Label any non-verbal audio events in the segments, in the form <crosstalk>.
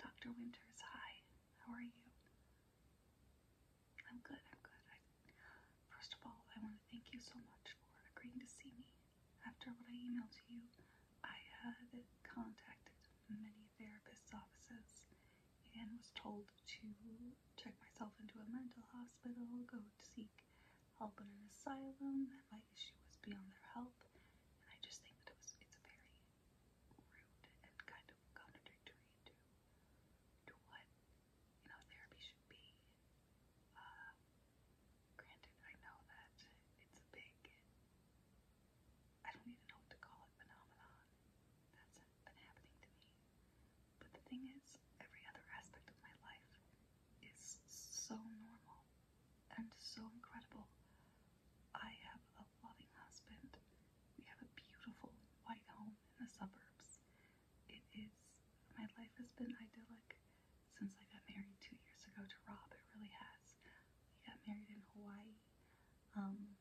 Dr. Winters, hi. How are you? I'm good, I'm good. I, am good 1st of all, I want to thank you so much for agreeing to see me. After what I emailed you, I contacted many therapists' offices and was told to check myself into a mental hospital, go seek help in an asylum, my issue was beyond their help. And I just think that it's a very rude and kind of contradictory to to what you know therapy should be. Uh, granted, I know that it's a big I don't even know to call it phenomenon that's been happening to me. But the thing is, every other aspect of my life is so normal and so incredible. I have a loving husband. We have a beautiful white home in the suburbs. It is, my life has been idyllic since I got married two years ago to Rob. It really has. We got married in Hawaii. Um,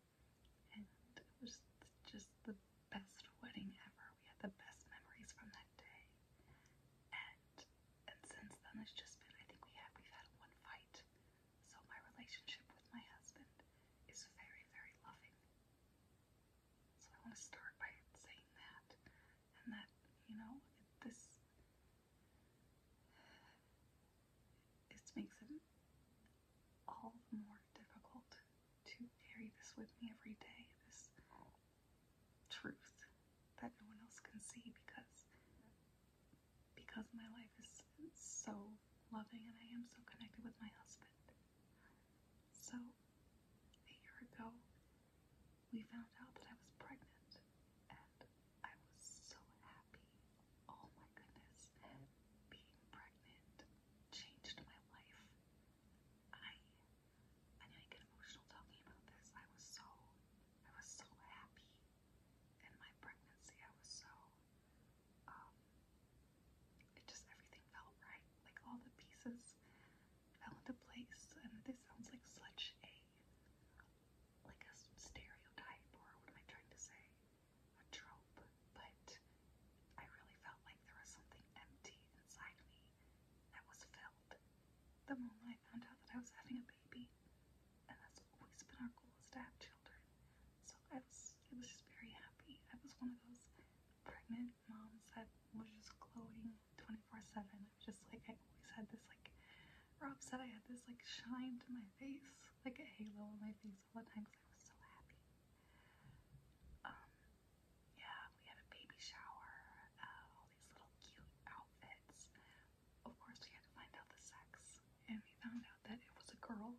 and it was just the best wedding ever. We had the best memories from that day. And and since then it's just been I think we have we've had one fight. So my relationship with my husband is very, very loving. So I want to start by saying that. And that, you know, this it makes it all the more difficult to carry this with me every day, this truth that no one else can see because because my life is so loving and I am so connected with my husband. So, a year ago, we found out that I was pregnant, and I was so happy. Oh my goodness, being pregnant changed my life. I, I didn't emotional talking about this. I was so, I was so happy in my pregnancy, I was so, um, it just everything felt right. Like all the pieces fell into place. And this sounds like such a, like a stereotype, or what am I trying to say? A trope. But I really felt like there was something empty inside me that was filled the moment I found out that I was having a baby and that's always been our goal is to have children. So I was, I was just very happy. I was one of those pregnant moms that was just glowing 24/7. I was just like, I always had this like, Rob said I had this like shine to my face, like a halo on my face all the time I was so happy. Um, yeah, we had a baby shower, uh, all these little cute outfits of course, we had to find out the sex, and we found out that it was a girl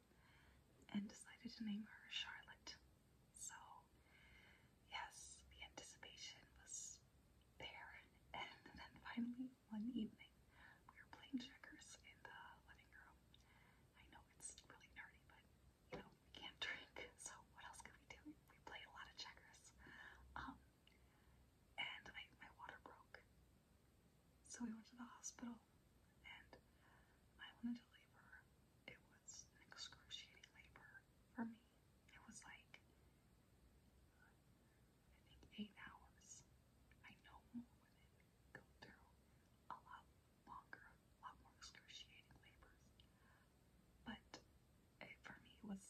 and decided to name her Charlotte. So, yes, the anticipation was there. <laughs> And then finally, one evening, we were playing checkers in the living room. I know it's really nerdy, but you know, we can't <laughs> drink, so what else could we do? We played a lot of checkers. Um, and my water broke. So we went to the hospital, and I went into labor. It was excruciating labor for me. It was like, I think, eight hours. I know women go through a lot longer, a lot more excruciating labors. But for me, it was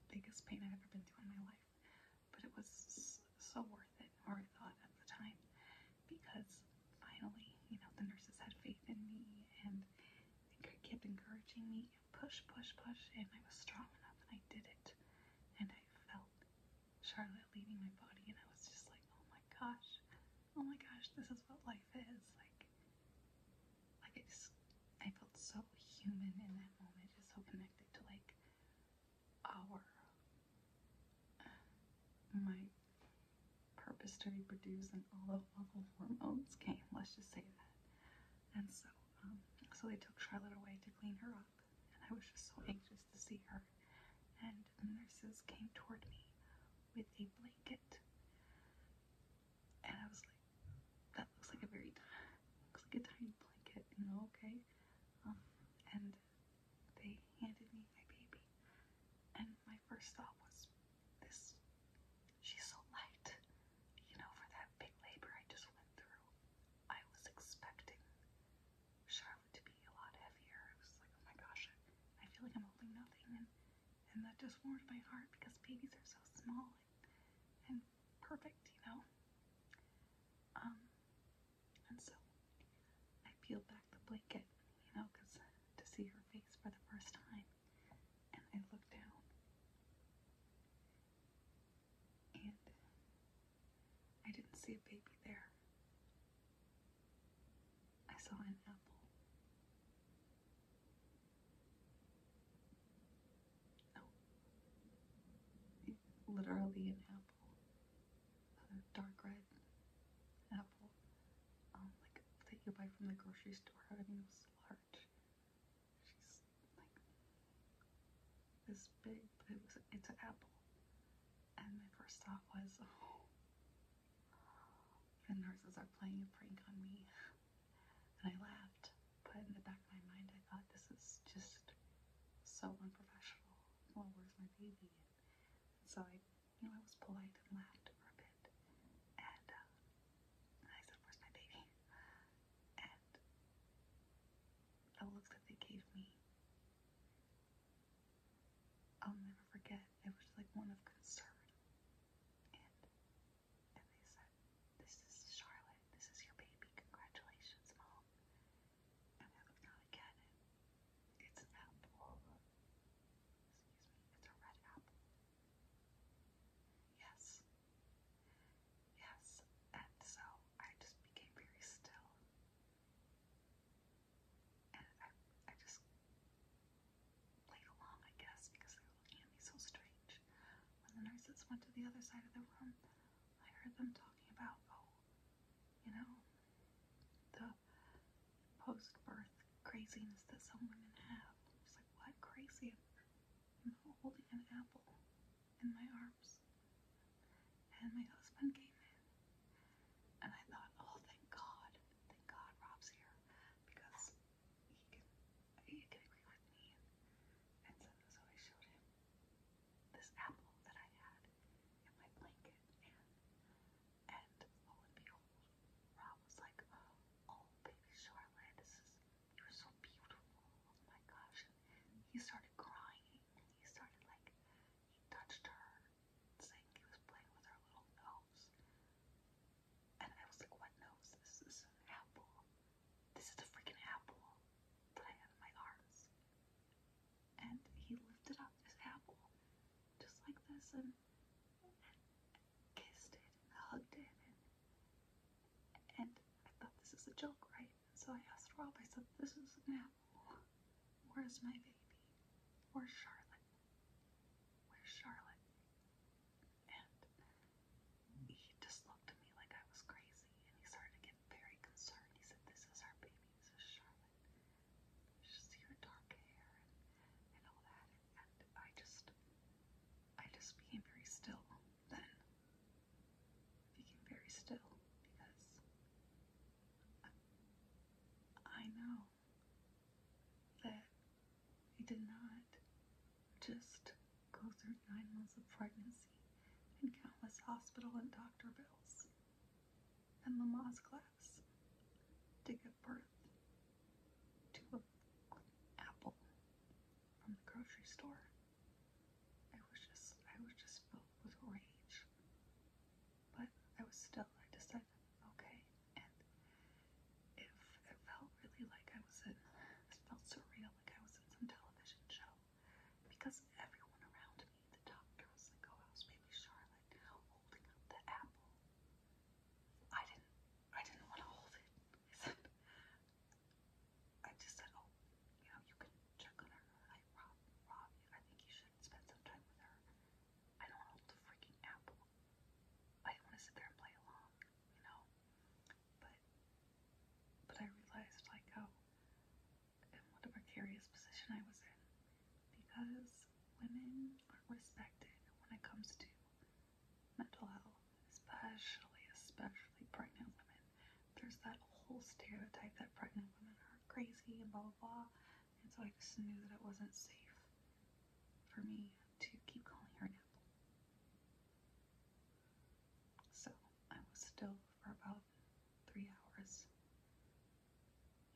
the biggest pain I've ever been through in my life but it was so worth it, or I thought at the time, because finally, you know, the nurses had faith in me and they kept encouraging me, push, push, push, and I was strong enough and I did it. And I felt Charlotte leaving my body, and I was just like, oh my gosh, oh my gosh, this is what life is. Like, like I just, I felt so human in that moment, just so connected to like our uh, my purpose to reproduce and all the awful hormones came. Let's just say that. And so, um, so they took Charlotte away to clean her up, and I was just so anxious to see her. And the nurses came toward me with a blanket, and I was like, "That looks like a very, looks like a tiny blanket." okay. Um, and they handed me my baby. And my first thought was, this, she's so light. You know, for that big labor I just went through, I was expecting Charlotte to be a lot heavier. I was like, oh my gosh, I, feel like I'm holding nothing. And, and that just warmed my heart because babies are so small and, and perfect, you know? Um, and so I peeled back the blanket, you know, because to see her face for the first time. And I looked down. And I didn't see a baby there. I saw an apple. No. Oh. Literally an apple purple, dark red apple, um, like that you buy from the grocery store. I mean, it was large. She's like this big, but it was it's an apple. And my first thought was, <laughs> oh, the nurses are playing a prank on me. And I laughed, but in the back of my mind, I thought this is just so unprofessional. Oh, where's my baby? so I, you know, I was polite and laughed for a bit. And uh, I said, where's my baby? And the look that they gave me, I'll never forget. It was like one of concern. and they said, this is Charlotte. This is your baby. Congratulations, Mom. I haven't got an apple. Excuse me, it's a red apple. Yes. Yes, and so I just became very still. And I, I just played along, I guess, because they were looking at me so strange. When the nurses went to the other side of the room, I heard them talking about, oh, you know, the post birth craziness that some women have. It's like, what crazy? I'm holding an apple in my arms. And my husband came in, and I thought, oh, thank God, thank God Rob's here because he can, he can agree with me. And so, I showed him this apple that I had in my blanket, and and and behold, Rob was like, "Oh, baby Charlotte, this is you're so beautiful! Oh my gosh!" he started crying, he started like he touched her, saying he was playing with her little nose, and I was like, "What nose? This is an apple." This is the freaking apple that I had in my arms and he lifted up this apple just like this and, kissed it and hugged it and, I thought this is a joke, right? And so I asked Rob, I said, This is an apple. Where's my baby? Where's Charlotte? Where's Charlotte? And he just looked at me like I was crazy and he started to get very concerned. He said, This is our baby says Charlotte. Just your dark hair and, and all that. And, I just, I just became very still then. Became very still because I, know that he did not just go through nine months of pregnancy and countless hospital and doctor bills and Mama's class to give birth to an apple from the grocery store. I was just I was just filled with rage. But I was still I decided, okay, and it felt really like I was in it felt surreal like I was in some television show because everyone around me, the doctor was like, oh, Charlotte holding the apple? I didn't, I didn't want to hold it. <laughs> I just said, oh, you know, you can check on her. I, Rob, Rob, I think you should spend some time with her. I don't want to hold the freaking apple. I want to sit there and play along, you know. But, but I realized like, oh, and what a precarious position I was in because women aren't respected when it comes to mental health, especially, especially pregnant women. There's that whole stereotype that pregnant women are crazy and blah blah blah, and so I just knew that it wasn't safe for me to keep calling her an So I was still for about three hours.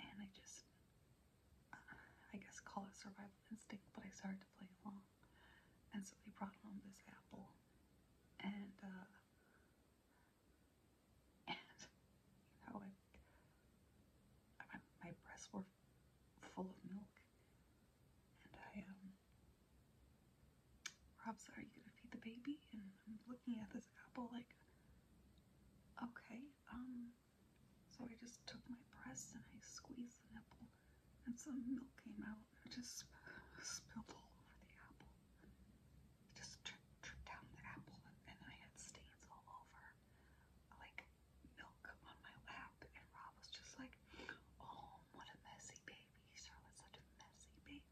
And I just, uh, I guess, call it survival instinct, but I started to play along. And so they brought home this apple, and uh, <laughs> and you know, I, I, my breasts were full of milk, and I um, Rob said, "Are you gonna feed the baby?" And I'm looking at this apple like, Okay, um, so I just took my breast and I squeezed the nipple, and some milk came out and just spilled all over the apple. It just dripped, dripped down the apple, and, and I had stains all over, like milk on my lap. And Rob was just like, "Oh, what a messy baby! Charlotte's such a messy baby."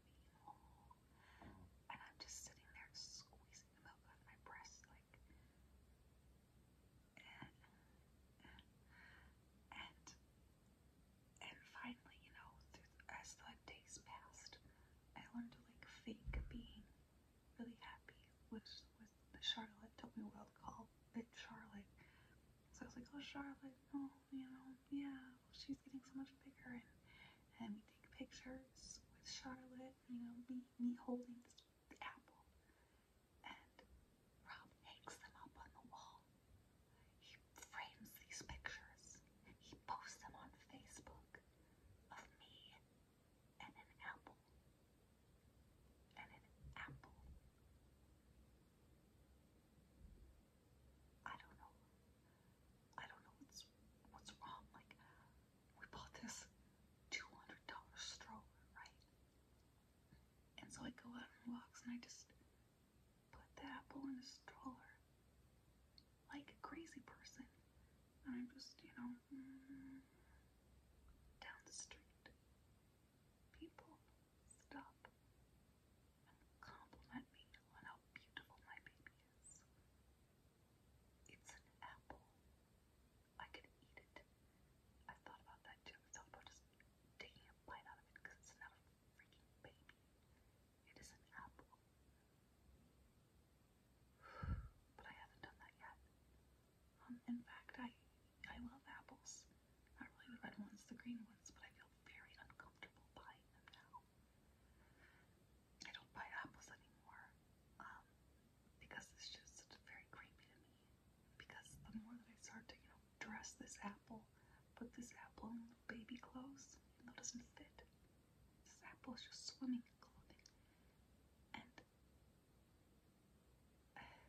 And I'm just sitting there squeezing the milk out of my breast, like. And, and and finally, you know, as the days passed, I learned to like fake being really happy, which was Charlotte told me what i call it Charlotte. So I was like, oh Charlotte, oh, you know, yeah, well, she's getting so much bigger, and, and we take pictures with Charlotte, you know, me, me holding the apple, and Rob hangs them up on the wall. He frames these pictures. He posts them on Facebook of me and an apple. And an apple. I don't know. I don't know what's what's wrong. Like we bought this two hundred dollar stroller, right? And so I go out on walks and I just put the apple in the stroller like crazy person. And I'm just, you know, mm, down the street. People stop and compliment me on how beautiful my baby it's an apple. I could eat it. I thought about that too. I thought about just taking a bite out of it because it's not a freaking baby. It is an apple. But I haven't done that yet. Um, in fact, I I love apples. Not really the red ones, the green ones, but I feel very uncomfortable buying them now. I don't buy apples anymore um, because it's just very creepy to me. Because the more that I start to, you know, dress this apple, put this apple in baby clothes, that doesn't fit. This apple is just swimming in clothing. And <sighs>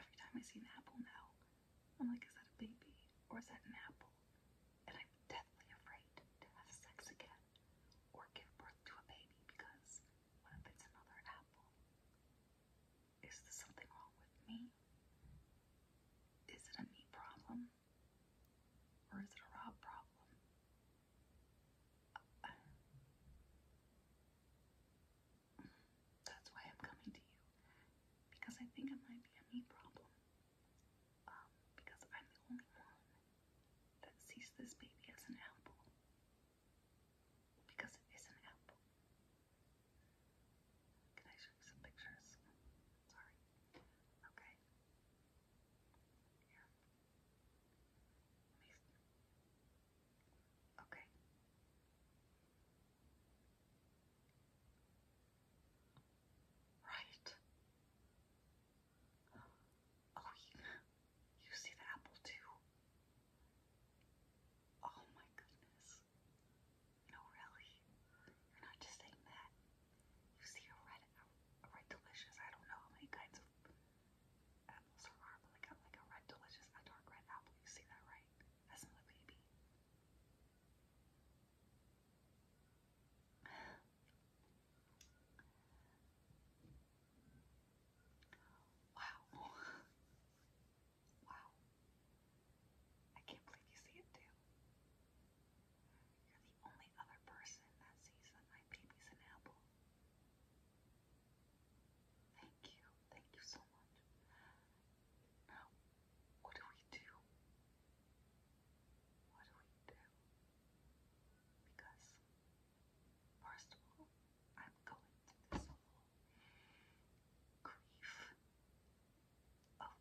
every time I see an apple now, I'm like, is that a baby or is that an apple? and I'm deathly afraid to have sex again or give birth to a baby because what if another apple? Is there something wrong with me? Is it a me problem? Or is it a Rob problem? that's why I'm coming to you. Because I think it might be a me problem um, because I'm the only one that sees this baby as an apple. Because it is an apple. Can I show you some pictures? Sorry. Okay. Yeah. Amazing. Okay. Right. Oh, you, see the apple too? Oh my goodness. No, really? You're not just saying that. You see a red, a red delicious. I don't know how many kinds of apples there are, but like a, red delicious, a dark red apple. You see that, right? That's my baby. Wow. Wow. I can't believe you see it too. You're the only other person that sees that my baby's an apple. Thank you. Thank you so much. Now, what do we do? What do we do? Because, first of all, I'm going to this whole grief of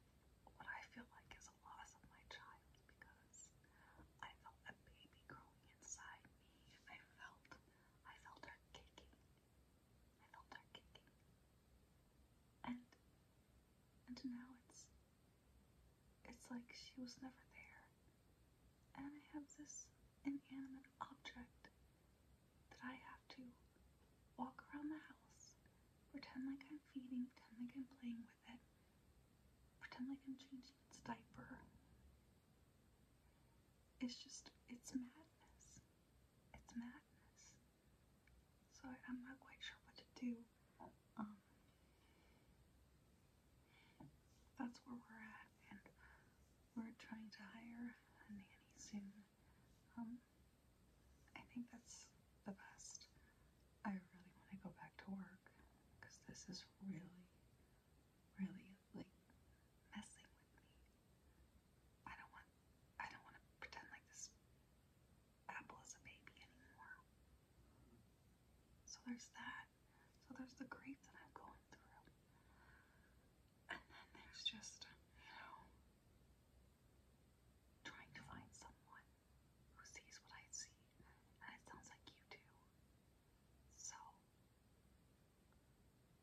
what I feel like is a loss of my child because I felt a baby growing inside me. I felt, I felt her kicking. I felt her kicking. And, and now it's it's like she was never there. And I have this inanimate object that I have to walk around the house, pretend like I'm feeding, pretend like I'm playing with it, pretend like I'm changing its diaper. It's just, it's madness. It's madness. So I'm not quite sure what to do. Um, that's where we're at, and we're trying to hire a nanny soon. Um, I think that's the best. I really want to go back to work because this is really, really like messing with me. I don't want, I don't want to pretend like this Apple is a baby anymore. So there's that. So there's the grades that I'm going through. And then there's just, you know, trying to find someone who sees what I see. And it sounds like you do. So,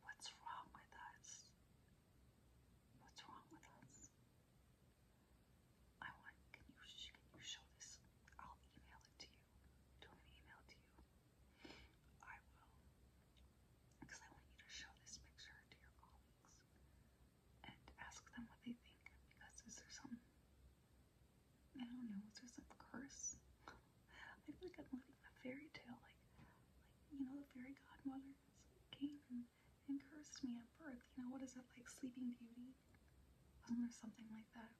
what's wrong with us? What's wrong with us? I want. Can you can you show this? I'll email it to you. Do an email to you. I will, because I want you to show this picture to your colleagues and ask them what they think. Because is there some? I don't know. Is there some curse? I feel like I'm living a fairy tale, like, like you know, the fairy godmother came and, cursed me at birth. You know, what is it like, Sleeping Beauty? Wasn't there something like that.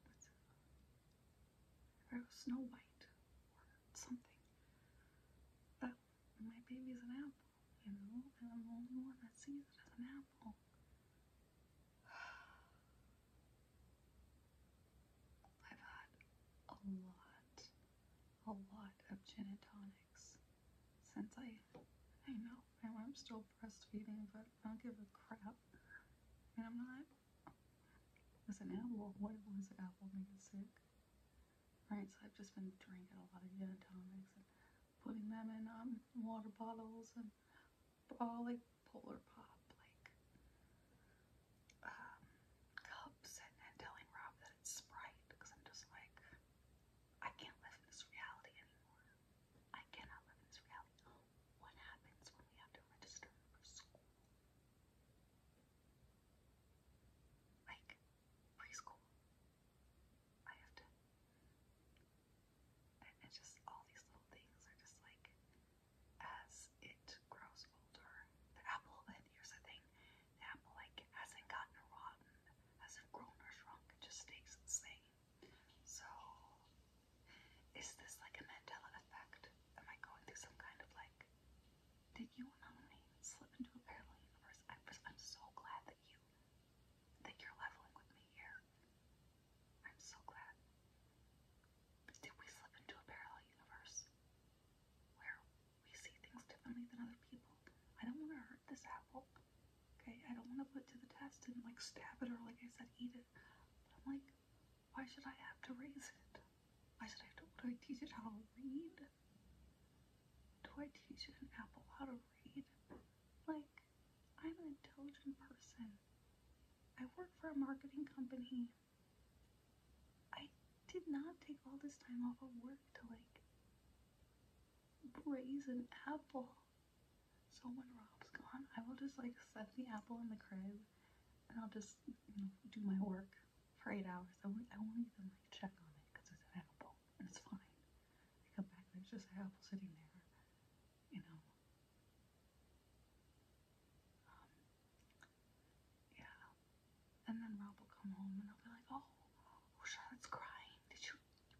or it was Snow White or something. But my baby's an apple, you know, and I'm the only one that sees it as an apple. <sighs> I've had a lot, a lot of gin tonics since I, I know I'm still breastfeeding, but I don't give a crap. And I'm not. It's an apple. What was an apple make it sick? Right, so I've just been drinking a lot of gin and tonics and putting them in um, water bottles and all like polar pop, like um, cups and telling Rob that it's Sprite because I'm just like, I can't live in this reality anymore. I cannot live in this What happens when we have to register for school? Like preschool. I have to. And it's just all these little things are just like, as it grows older, the apple, and here's the thing the apple, like, hasn't gotten rotten, hasn't grown or shrunk, it just stays the same. So, is this like a Mandela effect? Am I going through some kind of like, did you and I slip into a parallel universe? I was, I'm so glad that you, that you're leveling with me here. I'm so glad. did we slip into a parallel universe where we see things differently than other people? I don't want to hurt this apple. Okay, I don't want to put to the test and like stab it or like I said, eat it. But I'm like, why should I have to raise it? Why should I have to? Do I teach it how to read? Do I teach an apple how to read? Like, I'm an intelligent person. I work for a marketing company. I did not take all this time off of work to like raise an apple. So when Rob's gone, I will just like set the apple in the crib and I'll just do my work for eight hours. I won't, I won't even like check on it because it's an apple and it's fine. I come back, there's just an apple sitting there, you know. Um, yeah. And then Rob will come home and I'll be like, oh, oh Charlotte's crying. Did you,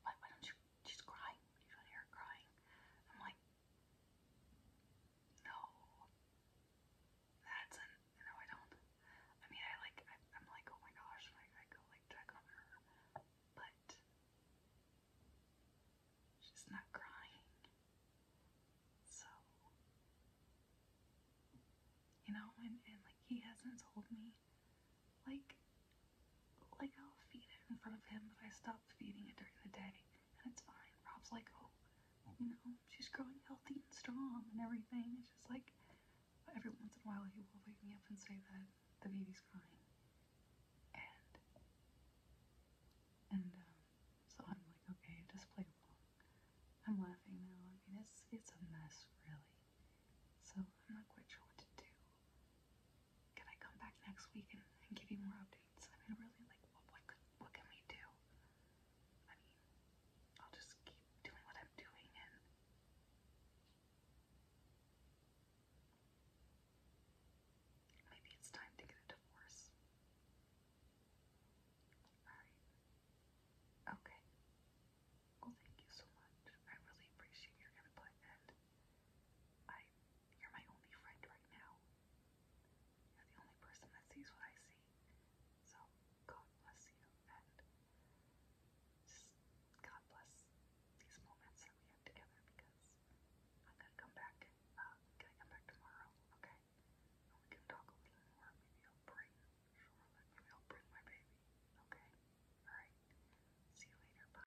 why, why don't you she's crying. You should hear her crying. I'm like, no, that's no. I don't. I mean, I like. I, am like, oh my gosh, like I go like check on her, but she's not crying. So you know, and and like he hasn't told me like like, I'll feed it in front of him, but I stopped feeding it during the day, and it's fine. Rob's like, oh, you know, she's growing healthy and strong and everything. It's just like, every once in a while he will wake me up and say that the baby's crying. And, and, um, so I'm like, okay, just play along. I'm laughing now. I mean, it's, it's a mess, really. So I'm not quite sure what to do can I come back next week and, and give you more updates? I mean, really, like, what what can we do? I mean, I'll just keep doing what I'm doing and. Maybe it's time to get a divorce. Alright. Okay. Well, thank you so much. I really appreciate your input and I, you're my only friend right now. You're the only person that sees what I see. So, God bless you, and just God bless these moments that we have together because I'm gonna come back. can uh, I come back tomorrow? Okay. we can talk a little more. Maybe I'll bring Maybe I'll bring my baby. Okay. All right. See you later. Bye.